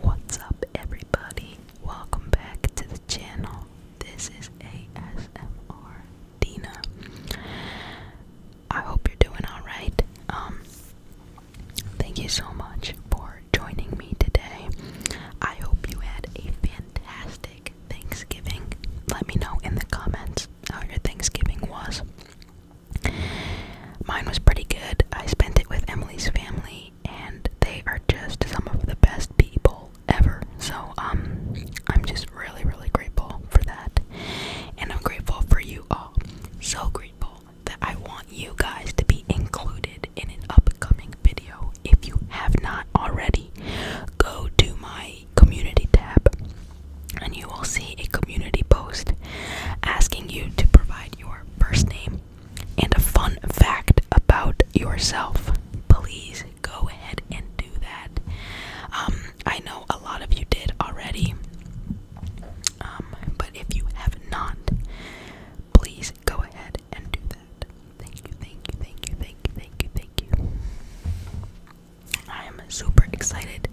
What's up everybody? Welcome back to the channel. This is ASMR Dina. I hope you're doing alright. Um, thank you so much for joining me today. I hope you had a fantastic Thanksgiving. Let me know in the comments how your Thanksgiving was. Mine was pretty good. I spent it with Emily's family and they are just some of the best people ever. So um I'm just really really grateful for that. And I'm grateful for you all. So grateful that I want you guys to be included in an upcoming video. If you have not already, go to my community tab and you will see a community post asking you to provide your first name, and a fun fact about yourself, please go ahead and do that. Um, I know a lot of you did already, um, but if you have not, please go ahead and do that. Thank you, thank you, thank you, thank you, thank you, thank you. I am super excited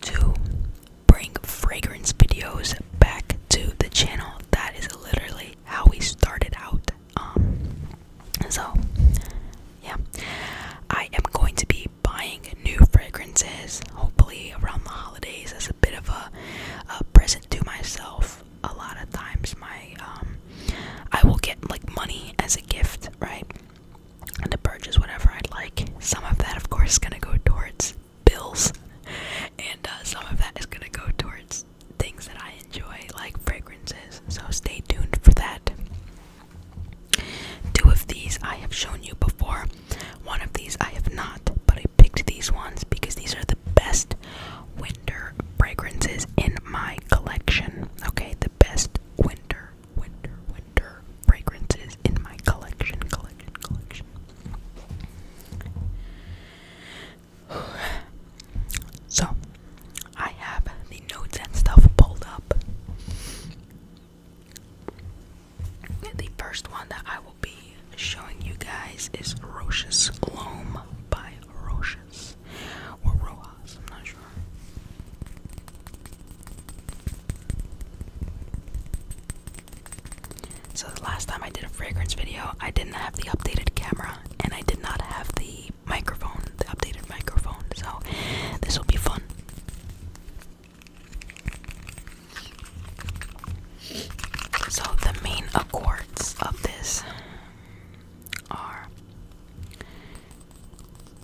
to bring fragrance videos back to the channel. That is literally how we started out. Um, so, yeah, I am going to be buying new fragrances hopefully around the holidays as a bit of a, a present to myself. A lot of times, my um, I will get like money as a gift, right? And to purchase whatever I'd like. Some of that, of course, is gonna go towards bills, and uh, some of that is gonna go towards things that I enjoy, like fragrances. So stay tuned for that. Two of these I have shown you before. One of these I have not, but I picked these ones because these are the best winter fragrances in my collection. Okay, the best winter, winter, winter fragrances in my collection, collection, collection. So, I have the notes and stuff pulled up. The first one that I will be showing you guys is Rochus Loam by Rochus or Rojas, I'm not sure. So the last time I did a fragrance video, I didn't have the updated camera and I did not have the microphone, the updated microphone. So this will be fun. So the main accords of this are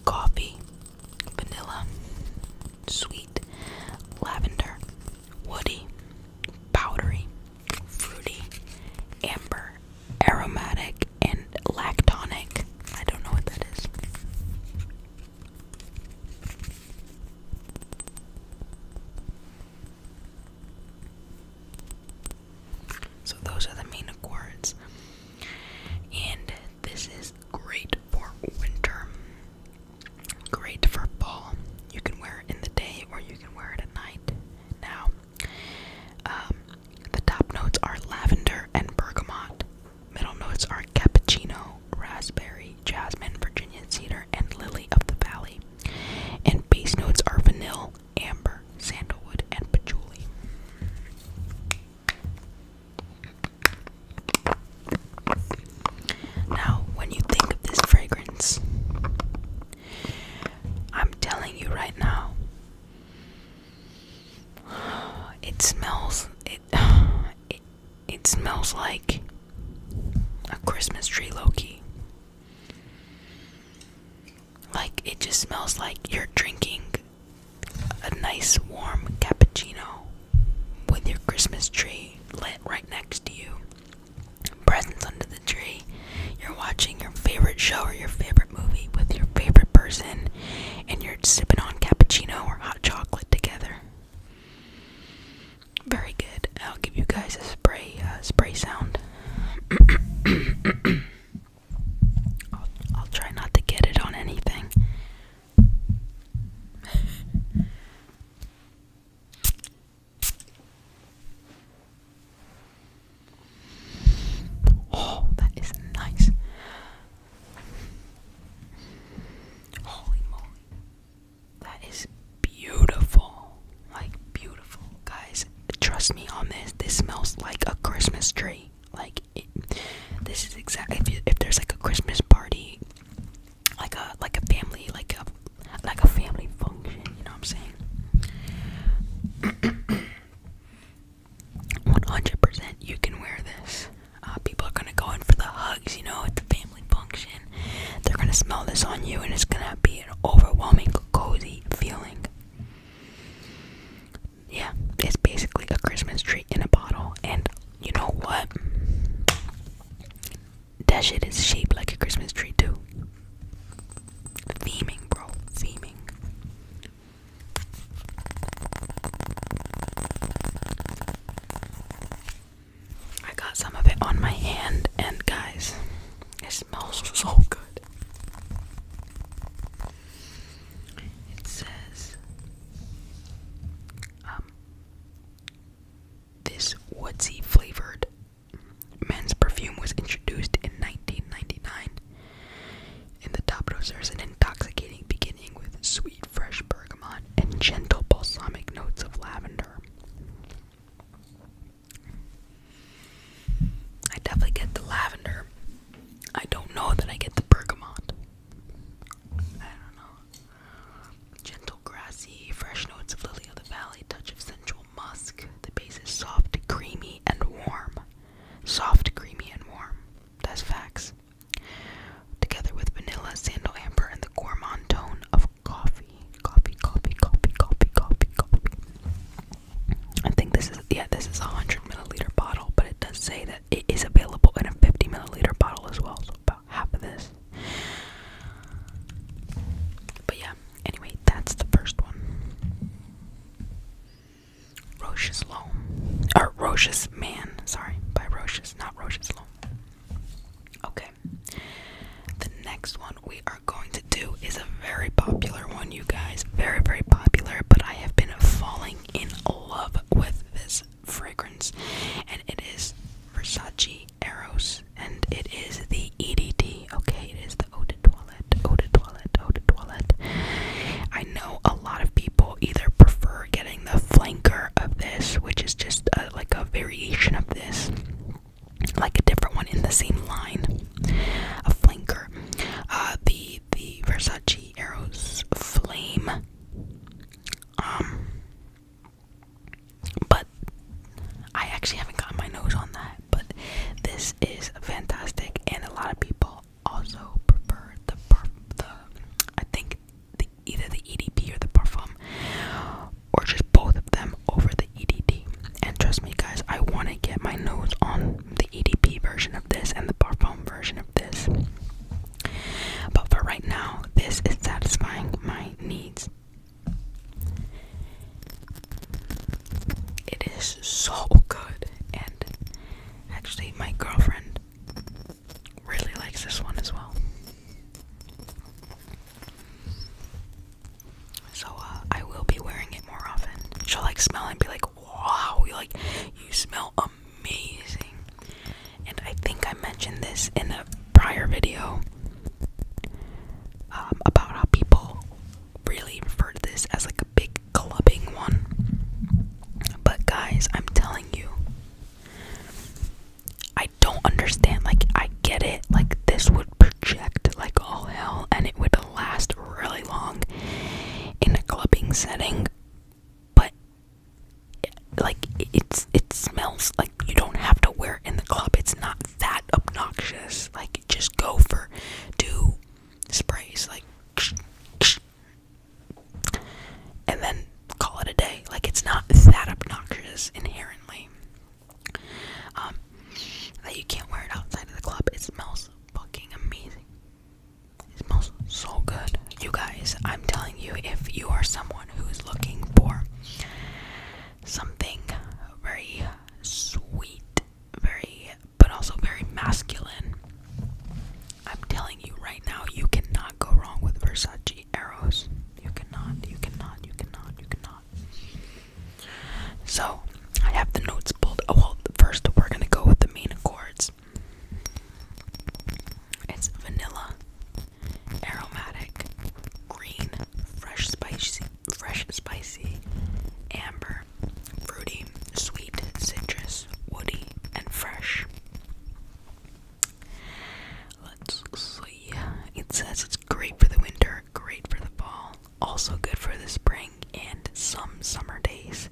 coffee, vanilla, sweet, lavender, woody, powdery, fruity, amber, aromatic, and lactonic. I don't know what that is. So, those are the main accords, and this is great for winter. Great for fall. You can wear it in the day or you can wear it at night. Now, um, the top notes are lavender and bergamot. Middle notes are cappuccino, raspberry, jasmine, Virginia cedar, and lily of the valley. And base notes are vanilla, amber, sandalwood, and patchouli. Now, when you think of this fragrance, I'm telling you right now, it smells it it, it smells like a Christmas tree, Loki. Like it just smells like you're drinking a nice warm cappuccino with your Christmas tree lit right next to you, presents under the tree, you're watching your favorite show or your favorite movie with your favorite person, and you're sipping on cappuccino or hot chocolate together. Very good. I'll give you guys a spray uh, spray sound. I'll try not to get it on anything oh, that is nice. Holy moly. That is beautiful. Like, beautiful. Guys, trust me on this. This smells like a Christmas tree. Like, this is exactly if there's like a Christmas party like a like a family like a like a family function, you know what I'm saying? 100% you can wear this. Uh, people are gonna go in for the hugs, you know, at the family function. They're gonna smell this on you, and it's gonna be an overwhelming, cozy feeling. Yeah, it's basically a Christmas tree in a bottle, and you know what? That shit is shaped like a Christmas tree too. Theming, bro. Theming. I got some of it on my hand, and guys, it smells so good. It says, um, this woodsy flavored men's perfume was introduced in 1999. In the top notes, there's an intoxicating beginning with sweet, fresh bergamot and gentle balsamic notes of lavender. I definitely get the lavender. I don't know that I get the bergamot. I don't know. Gentle grassy, fresh notes of lily of the valley, touch of sensual musk. The base is soft, creamy, and warm. Soft, creamy, and warm. That's facts. Together with vanilla, sandal, amber, and the gourmand tone of coffee. Coffee, coffee, coffee, coffee, coffee, coffee. I think this is yeah, this is a hundred milliliter bottle, but it does say that it is available in a fifty milliliter bottle as well. So half of this. But yeah, anyway, that's the first one. Roche's Loam. Or Roche's Man, sorry, by Roche's, not Roche's Loam. Okay. The next one we are going to do is a very popular one, you guys. Very, very popular, but I have been falling in love with this fragrance, and it is Versace Eros, and it is the EDT. Okay, it is the Eau de Toilette, Eau de Toilette, Eau de Toilette. I know a lot of people either prefer getting the flanker of this, which is just like a variation of this, like a different one in the same line, a flanker. Uh, the the Versace Eros Flame. Um but I actually haven't gotten my nose on that, but this is fantastic and a lot of people also prefer the perf I think either the EDP or the parfum or just both of them over the EDT. And trust me guys, I want to get my nose on the EDP version of this and the parfum version of this. But for right now, this is satisfying my needs. It is so good, and actually, my girlfriend really likes this one as well. So uh, I will be wearing it more often. She'll like smell and be like, "Wow, you like you smell amazing. And I think I mentioned this in a prior video um, about how people really refer to this as like a big clubbing one. But guys, I'm telling you, I don't understand. Like, I get it. Like, this would project like all hell and it would last really long in a clubbing setting. But like it's it smells like you don't have to wear it in the club. It's not that obnoxious. Like just go for two sprays, like, and then call it a day. Like it's not that obnoxious inherently. Um, that you can't wear it outside of the club. It smells fucking amazing. It smells so good. You guys, I'm telling you, if you are someone who is looking for something very sweet, very but also very masculine, I'm telling you right now, you cannot go wrong with Versace arrows. You cannot, you cannot, you cannot, you cannot. So I have the notes pulled. Oh, well, first we're gonna go with the main chords. It's vanilla, aromatic, green, fresh spicy, fresh spicy, amber, fruity, sweet, citrus, woody, and fresh. Let's see. It says it's great for the winter, great for the fall, also good for the spring and some summer days.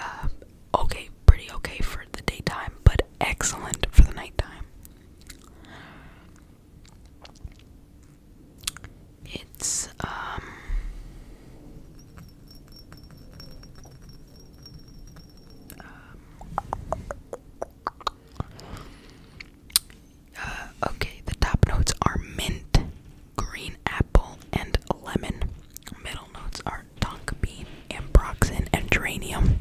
Uh, okay, pretty okay for the daytime, but excellent for the nighttime. It's, um, uh, okay, the top notes are mint, green apple, and lemon. Middle notes are tonka bean, ambroxan, and geranium.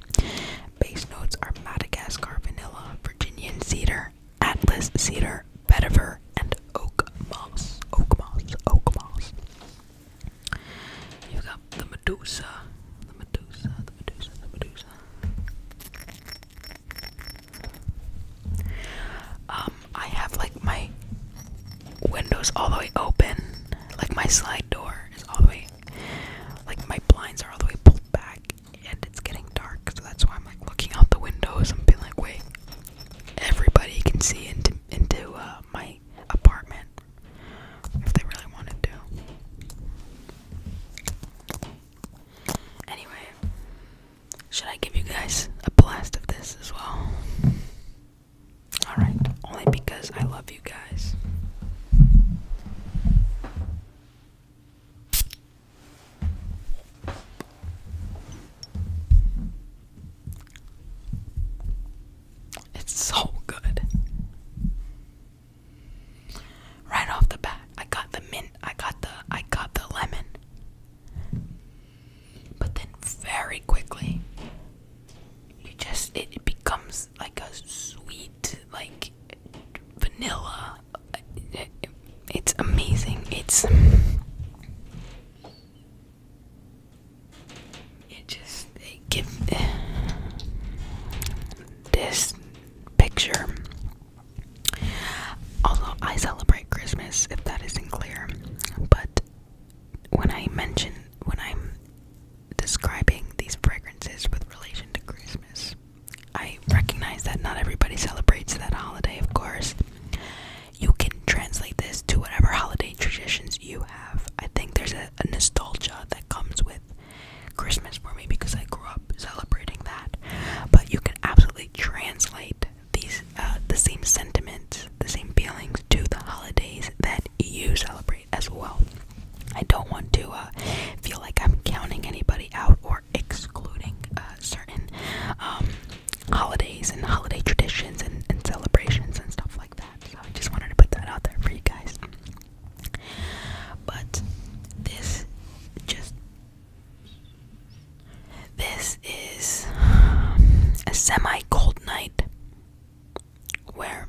Base notes are Madagascar vanilla, Virginian cedar, Atlas cedar, vetiver, and oak moss. Oak moss, oak moss. You've got the Medusa, the Medusa, the Medusa, the Medusa. Um, I have like my windows all the way open. Like my slide door is all the way, like my blinds are all the way pulled back, and it's getting dark. So that's why I'm like looking out the windows. I'm feeling like, wait, everybody can see into into uh, my apartment if they really wanted to. Anyway, should I give you guys a blast of this as well? Alright, only because I love you guys. It's so good. Right off the bat, I got the mint, I got the I got the lemon. But then very quickly, you just it, becomes like a sweet, like vanilla. It, it, it's amazing. It's it just it give this picture. Although I celebrate Christmas, if that isn't clear, but when I mention when I'm describing these fragrances with relation to Christmas, I recognize that not everybody celebrates that holiday, of course. You can translate this to whatever holiday traditions you have. I think there's a, nostalgia that comes with Christmas for me because I grew up celebrating that. But you can absolutely translate these uh, the same sentiment the same feelings to the holidays that you celebrate as well. I don't want to uh, feel like I'm counting anybody out or excluding uh, certain um, holidays and holiday traditions and, and celebrations and stuff like that. So I just wanted to put that out there for you guys. But this just this is a semi cold night where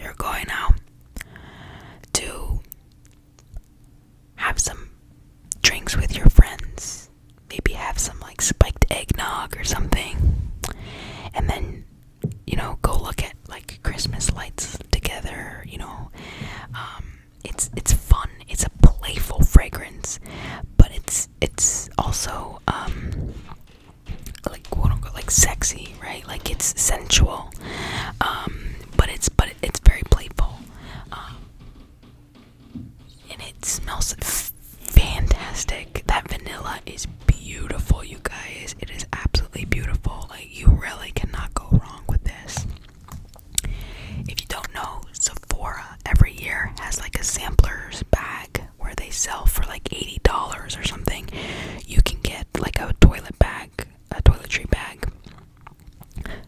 you're going now to have some drinks with your friends, maybe have some like spiked eggnog or something, and then you know go look at like Christmas lights together. You know, um, it's it's fun. It's a playful fragrance, but it's it's also um, like quote unquote like sexy, right? Like it's sensual. Um, but it's but it's very playful. Um, and it smells fantastic. That vanilla is beautiful, you guys. It is absolutely beautiful. Like you really cannot go wrong with this. If you don't know, Sephora every year has like a sampler's bag where they sell for like $80 or something. You can get like a toilet bag, a toiletry bag,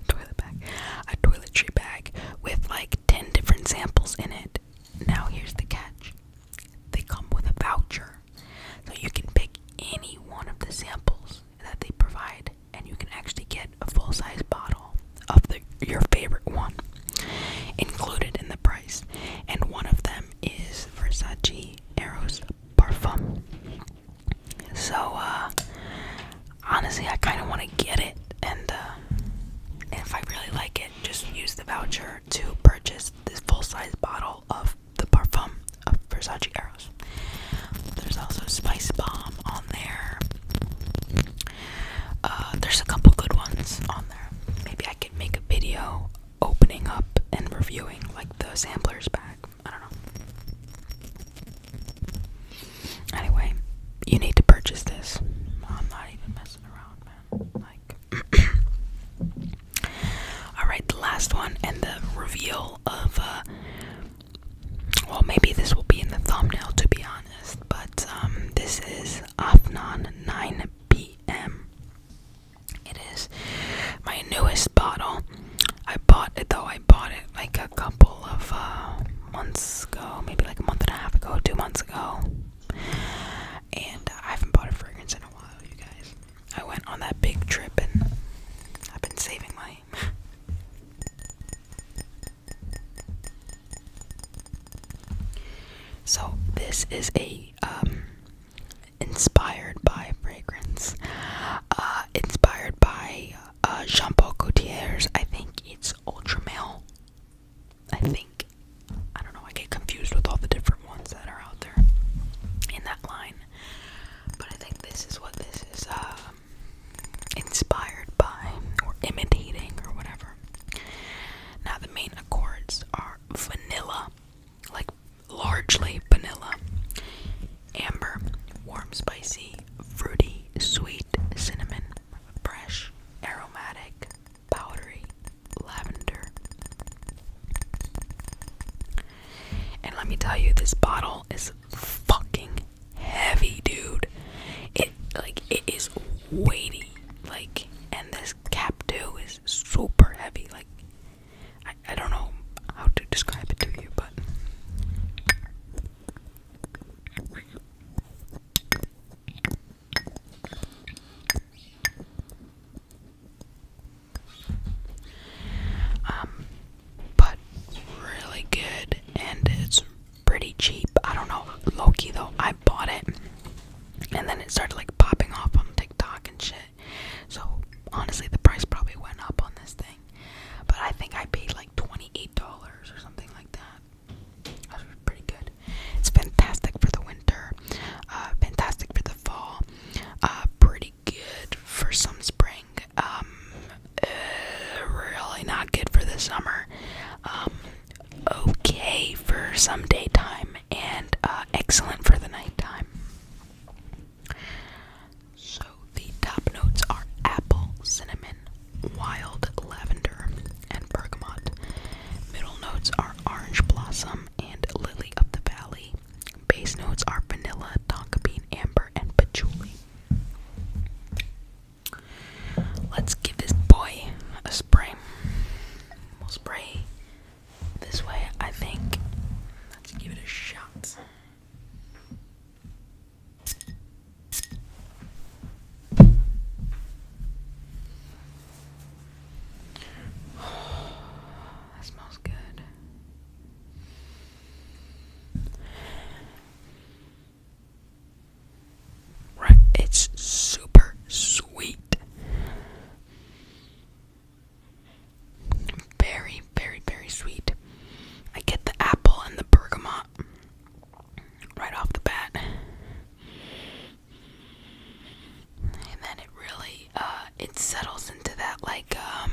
toilet bag, a toiletry bag with like 10 different samples in it. Now, here's the catch they come with a voucher. So you can pick any one of the samples that they provide, and you can actually get a full size bottle of the your favorite one included in the price, and one of them is Versace Eros Parfum. So, uh, honestly, I kind of want to get it, and uh, if I really like it, just use the voucher to purchase this full-size bottle of the parfum of Versace Eros. There's also Spice Bomb on there. Uh, there's a couple good ones on there. Maybe I could make a video opening up and reviewing like the samplers back. I don't know. Anyway, you need to purchase this. I'm not even messing around, man. all right, the last one and the reveal of. Uh, well, maybe this will be in the thumbnail. To be honest but um, this is Afnan 9pm. It is my newest bottle. I bought it though, I bought it like a couple of uh, months ago, maybe like a month and a half ago, two months ago. And I haven't bought a fragrance in a while, you guys. I went on that big trip and I've been saving money. So this is a um, inspired by fragrance, uh, inspired by uh, Jean Paul Gaultier's. I think it's Ultramel. I think I don't know. I get confused with all the different ones that are out there in that line, but I think this is what this is um, inspired by or imitating or whatever. Now, the main accords are vanilla, like largely vanilla, amber, warm, spicy, fruity, sweet, cinnamon, fresh, aromatic, powdery, lavender. And let me tell you, this bottle is fucking heavy, dude. It like it is weighty. Like, and this cap too is super heavy. Like, I, I don't know how to describe it to you, but. Um, but really good, and it's pretty cheap. I don't know. Loki though, I bought it and then it started like popping off on TikTok and shit. So honestly the price probably went up on this thing. But I think I paid like $28 or something like that. That's pretty good. It's fantastic for the winter, uh, fantastic for the fall, uh, pretty good for some spring, um, uh, really not good for the summer. Um, okay for some daytime and uh, excellent for the nighttime. So the top notes are apple, cinnamon, wild lavender, and bergamot. Middle notes are orange blossom and lily of the valley. Base notes are vanilla, tonka bean, amber, and patchouli. Let's give this boy a spray. We'll spray this way, I think. Let's give it a shot. that smells good. Right? It's super sweet. Very, very, very sweet. I get the apple and the bergamot right off the bat. And then it really uh it settles into that like um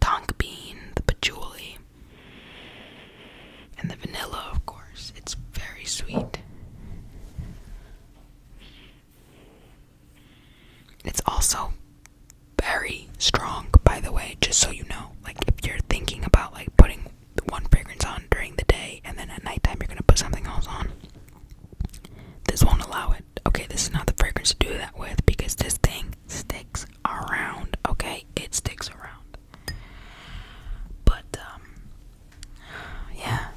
Tonka bean, the patchouli, and the vanilla, of course. It's very sweet. It's also very strong, by the way, just so you know. Like, if you're thinking about like putting one fragrance on during the day and then at nighttime you're gonna put something else on, this won't allow it. Okay, this is not the fragrance to do that with because this thing sticks around, okay? It sticks around. But, um, yeah.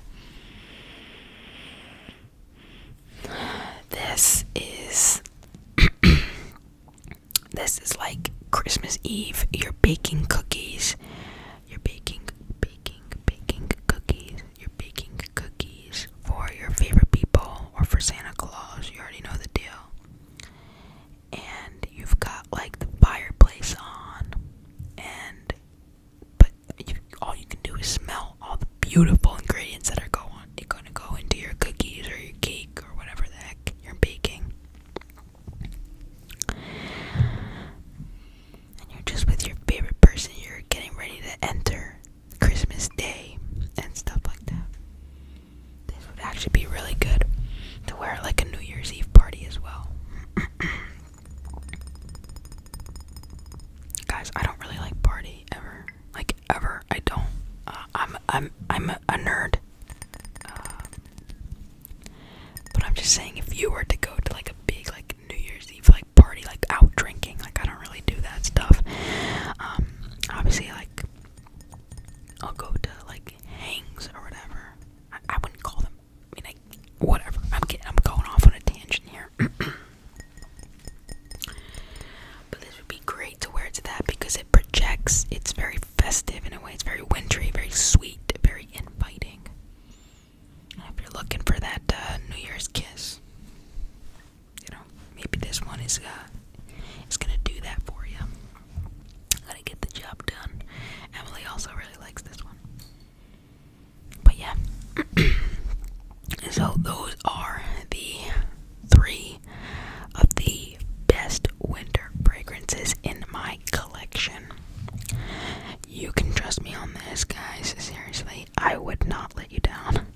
This is. this is like Christmas Eve. You're baking cookies. You're baking, baking, baking cookies. You're baking cookies for your favorite people or for Santa Claus. You already know the deal and you've got like the fireplace on and but all you can do is smell all the beautiful ingredients that are gonna go into your cookies or your cake or whatever the heck you're baking and you're just with your favorite person you're getting ready to enter Christmas Day and stuff like that this would actually be really good to wear like a New Year's Eve party as well. Guys, I don't really like party ever. Like ever, I don't. Uh, I'm I'm I'm a, nerd. Uh, but I'm just saying, if you were to go to like a big like New Year's Eve like party, like out drinking, like I don't really do that stuff. Um, obviously, like I'll go to like hangs or whatever. I, wouldn't call them. I mean, I, whatever. I'm getting. I'm going off on a tangent here. but this would be great to wear to that because it projects. It's very festive in a way. It's very wintry, very sweet, very inviting. if you're looking for that uh, New Year's kiss, you know, maybe this one is uh, is gonna do that for you. Gotta get the job done. Emily also really likes this one. But yeah, so those are the three of the best winter fragrances in my collection. You can trust me on this, guys. Seriously, I would not let you down.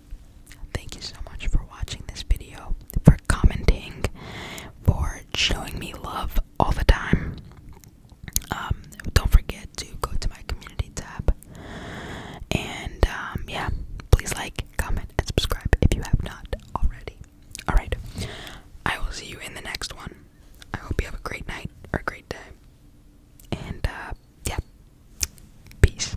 Thank you so much for watching this video for commenting, for showing me love all the time. Um, don't forget to go to my community tab. And um, yeah, please like, comment, and subscribe if you have not already. Alright, I will see you in the next one. I hope you have a great night or a great day. And uh, yeah, peace.